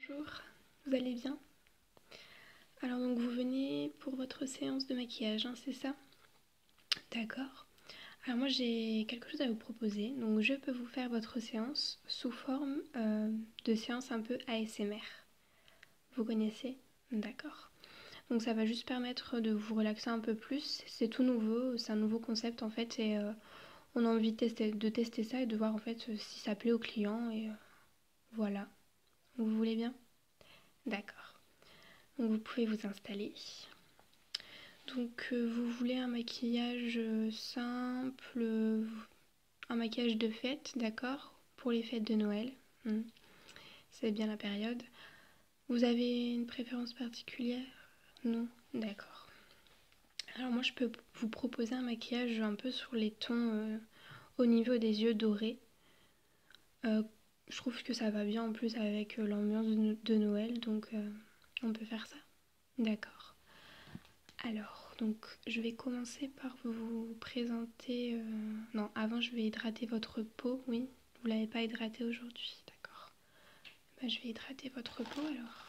Bonjour, vous allez bien Alors donc vous venez pour votre séance de maquillage, hein, c'est ça D'accord. Alors moi j'ai quelque chose à vous proposer, donc je peux vous faire votre séance sous forme euh, de séance un peu ASMR. Vous connaissez D'accord. Donc ça va juste permettre de vous relaxer un peu plus, c'est tout nouveau, c'est un nouveau concept en fait et euh, on a envie de tester, ça et de voir en fait euh, si ça plaît au client. Et euh, voilà. Vous voulez bien D'accord. vous pouvez vous installer. Donc euh, vous voulez un maquillage simple, un maquillage de fête, d'accord Pour les fêtes de Noël. Hmm. C'est bien la période. Vous avez une préférence particulière Non D'accord. Alors moi je peux vous proposer un maquillage un peu sur les tons euh, au niveau des yeux dorés. Euh, je trouve que ça va bien en plus avec euh, l'ambiance de Noël, donc on peut faire ça. D'accord. Alors, donc je vais commencer par vous présenter... Non, avant je vais hydrater votre peau, oui. Vous l'avez pas hydraté aujourd'hui, d'accord. Bah, je vais hydrater votre peau alors.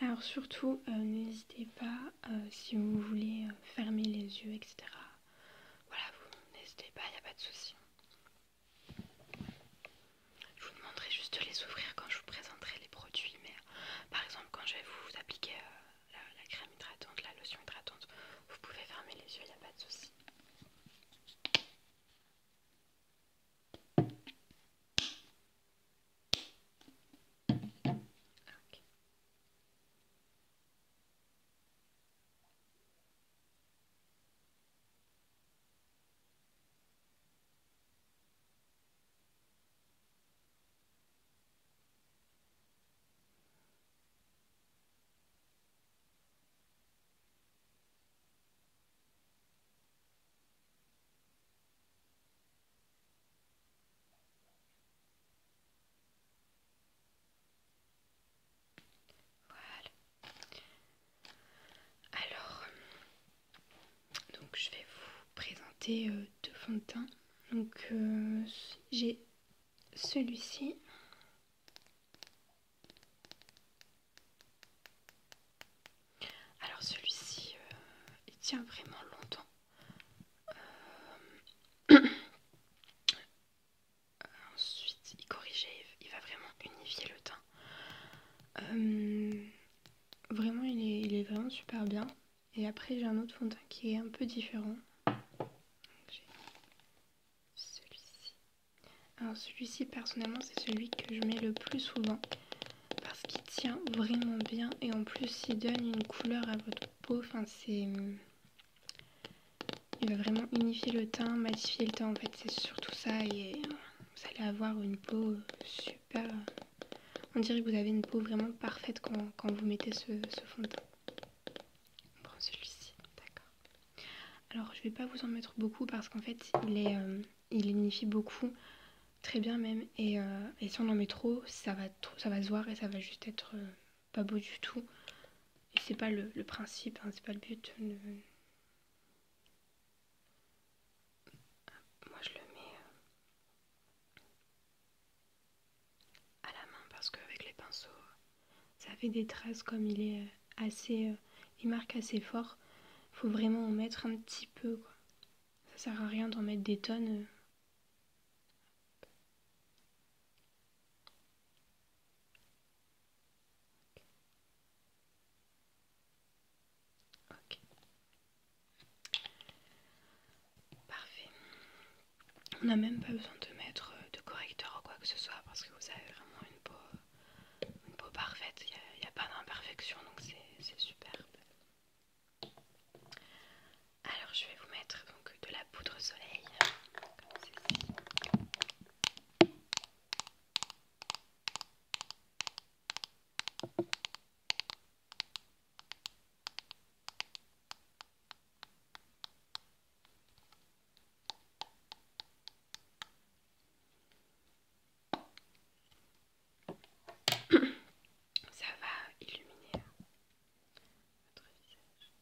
Alors surtout, euh, n'hésitez pas, euh, si vous voulez euh, fermer les yeux, etc. Voilà, vous n'hésitez pas, il n'y a pas de souci. Je vous demanderai juste de les ouvrir quand je vous présenterai les produits, mais par exemple quand je vais vous appliquer la, crème hydratante, la lotion hydratante. Vous pouvez fermer les yeux, il n'y a pas de souci. Voilà. Alors, donc je vais vous présenter euh, deux fonds de teint. Donc euh, j'ai celui-ci. Alors celui-ci, euh, il tient vraiment longtemps. Euh, ensuite, il corrige, il va vraiment unifier le teint. Euh, vraiment, il est, il est vraiment super bien. Et après, j'ai un autre fond de teint qui est un peu différent. celui-ci. Alors, celui-ci, personnellement, c'est celui que je mets le plus souvent parce qu'il tient vraiment bien et en plus, il donne une couleur à votre peau. Enfin, c'est. Il va vraiment unifier le teint, matifier le teint. En fait, c'est surtout ça. Et euh, vous allez avoir une peau super. Euh, on dirait que vous avez une peau vraiment parfaite quand, vous mettez ce fond de teint. On prend celui-ci, d'accord. Alors je vais pas vous en mettre beaucoup parce qu'en fait il est euh, il beaucoup, très bien même, euh, et, si on en met trop, ça va ça va se voir et ça va juste être euh, pas beau du tout. Et c'est pas le, principe, hein, c'est pas le but. moi je le mets à la main parce qu'avec les pinceaux, ça fait des traces comme il est euh, assez. Euh, il marque assez fort. Faut vraiment en mettre un petit peu quoi. Ça sert à rien d'en mettre des tonnes. Euh. Ok. Parfait. On n'a même pas besoin de mettre euh, de correcteur ou quoi que ce soit parce que vous avez vraiment une peau, peau parfaite. Il n'y a, pas d'imperfection donc c'est superbe. Alors je vais vous mettre donc de la poudre soleil comme ceci. Ça va illuminer votre visage.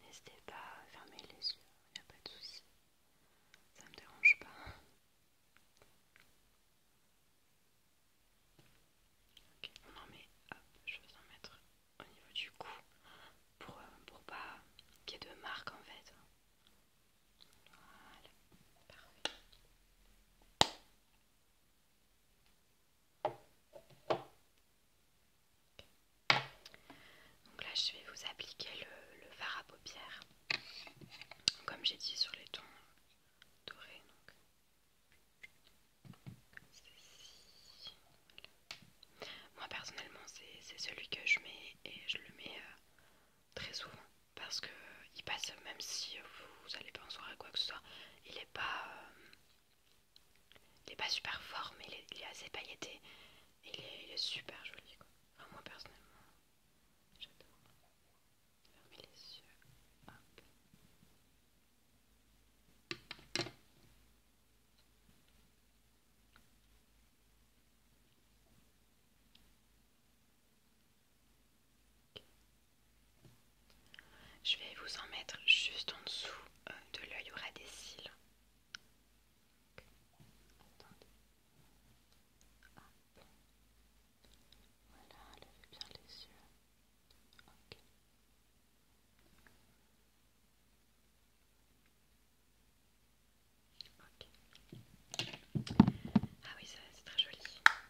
N'hésitez pas à fermer les yeux, il n'y a pas de soucis, Ça ne me dérange pas. Ok, on en met, hop, je vais en mettre au niveau du cou pour, euh, pour pas qu'il y ait de marques en fait. Voilà, parfait. Donc là, je vais vous appliquer le, le fard à paupières, comme j'ai dit sur les tons dorés. Moi personnellement, c'est celui que je mets et je le mets euh, très souvent parce que il passe même si vous allez pas en soirée quoi que ce soit, il est pas euh, il est pas super fort mais il est, assez pailleté, il est, super joli quoi. moi personnellement, j'adore. les yeux. Hop. Je vais vous en mettre juste en dessous euh, de l'œil, au y aura des cils. Voilà, levez bien les yeux. Ok. ok. Ah oui, ça c'est très joli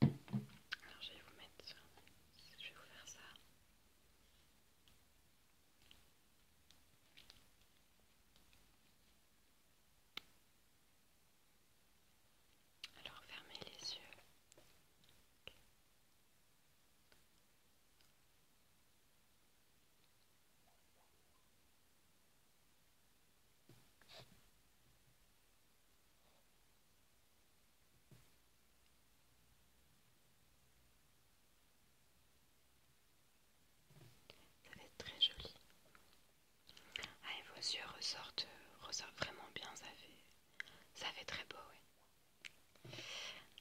Alors je vais vous mettre ça. Je vais vous faire ça. Alors fermez les yeux. Ça va être très joli. Ah, et vos yeux ressortent, ressortent vraiment bien, ça fait, ça fait très beau,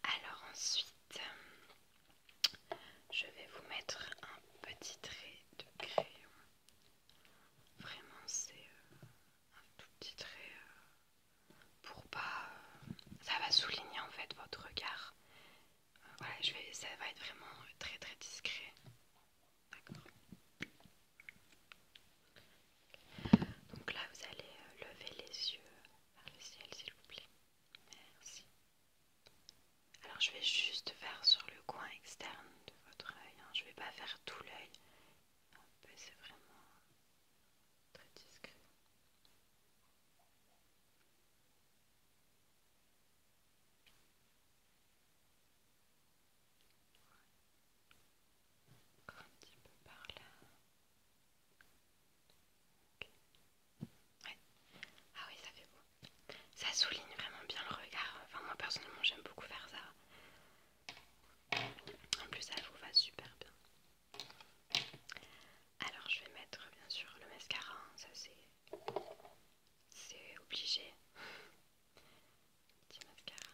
Alors ensuite, je vais vous mettre un petit trait de crayon Vraiment, c'est euh, un tout petit trait euh, pour pas. Euh, ça va souligner en fait votre regard. voilà, je vais, ça va être vraiment très très discret. D'accord. Donc là, vous allez lever les yeux vers le ciel, s'il vous plaît. Merci. Alors je vais juste faire sur le coin externe de votre œil. Hein. Je ne vais pas faire tout l'œil. C'est vraiment très discret. Encore un petit peu par là. Ah oui, ça fait beau ça souligne vraiment bien le regard. Enfin, moi personnellement, j'aime beaucoup faire ça. En plus, ça vous va super bien. Alors, je vais mettre bien sûr le mascara, hein. ça c'est obligé. Petit mascara.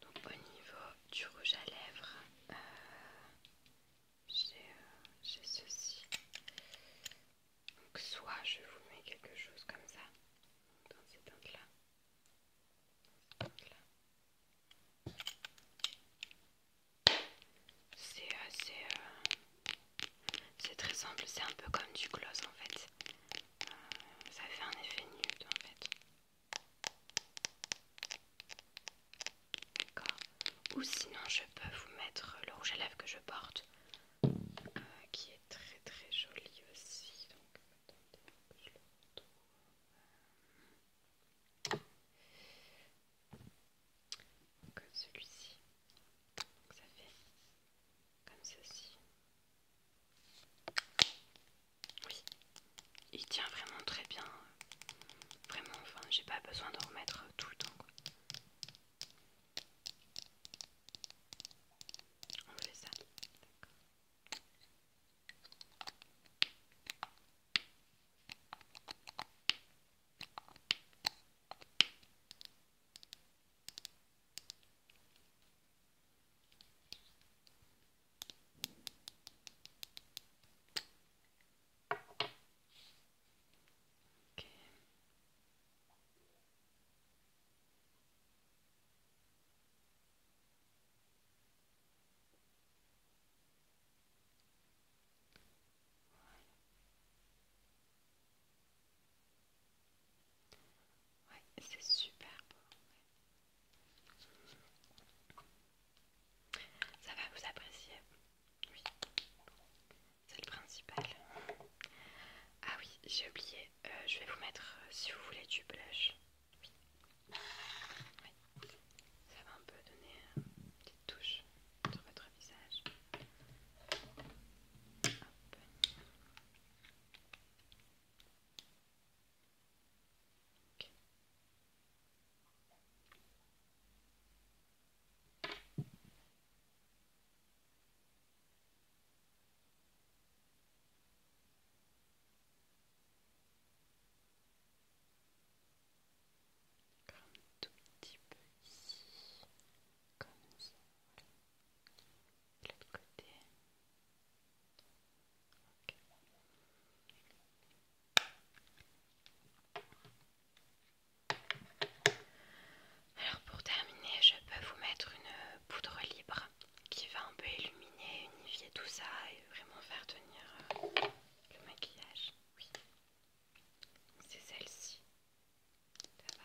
Donc au niveau du rouge à lèvres, euh, euh, j'ai ceci. Donc soit je vous mets quelque chose comme ça, dans ces teintes-là. C'est assez, euh, c'est très simple, c'est un peu comme du gloss en fait. ça fait un effet nude en fait. D'accord. Ou sinon, je peux vous mettre le rouge à lèvres que je porte, euh, qui est très très joli aussi. Donc, attendez, je le retrouve. Comme celui-ci. Donc, ça fait comme ceci. Oui, il tient vraiment très bien. Vraiment, enfin, j'ai pas besoin de remettre tout le temps. fait ça. Ouais, c'est super beau. Ça va vous apprécier Oui. C'est le principal. Ah oui, j'ai oublié. Euh, je vais vous mettre, euh, si vous voulez, du blush. Oui. Ça va un peu donner euh, une petite touche sur votre visage. Comme tout petit peu ici, comme ça, sommes De l'autre côté, alors pour terminer, je peux vous mettre une poudre libre qui va un peu illuminer, unifier tout ça et vraiment faire tenir euh, le maquillage. Oui, c'est celle-ci. Ça va.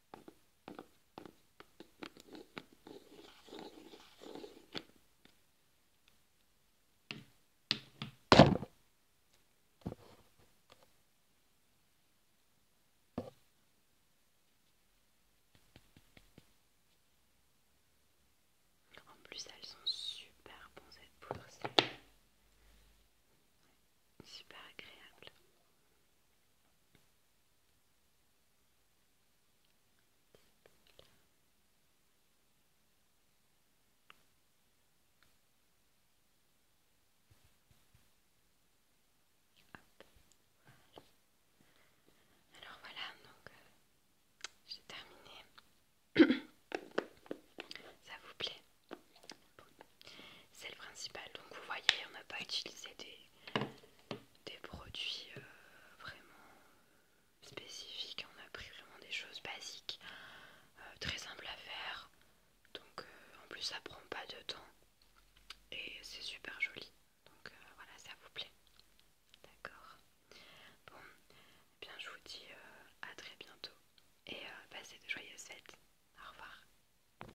En plus, elles sont super bonnes pour poudre, super agréable. Alors voilà, donc euh, j'ai terminé. Ça vous plaît c'est le principal. Donc vous voyez, on n'a pas utilisé des, produits euh, vraiment spécifiques. On a pris vraiment des choses basiques, euh, très simples à faire. Donc euh, en plus ça prend pas de temps et c'est super joli. Donc voilà, ça vous plaît. D'accord. Bon, eh bien je vous dis à très bientôt et passez de joyeuses fêtes. Au revoir.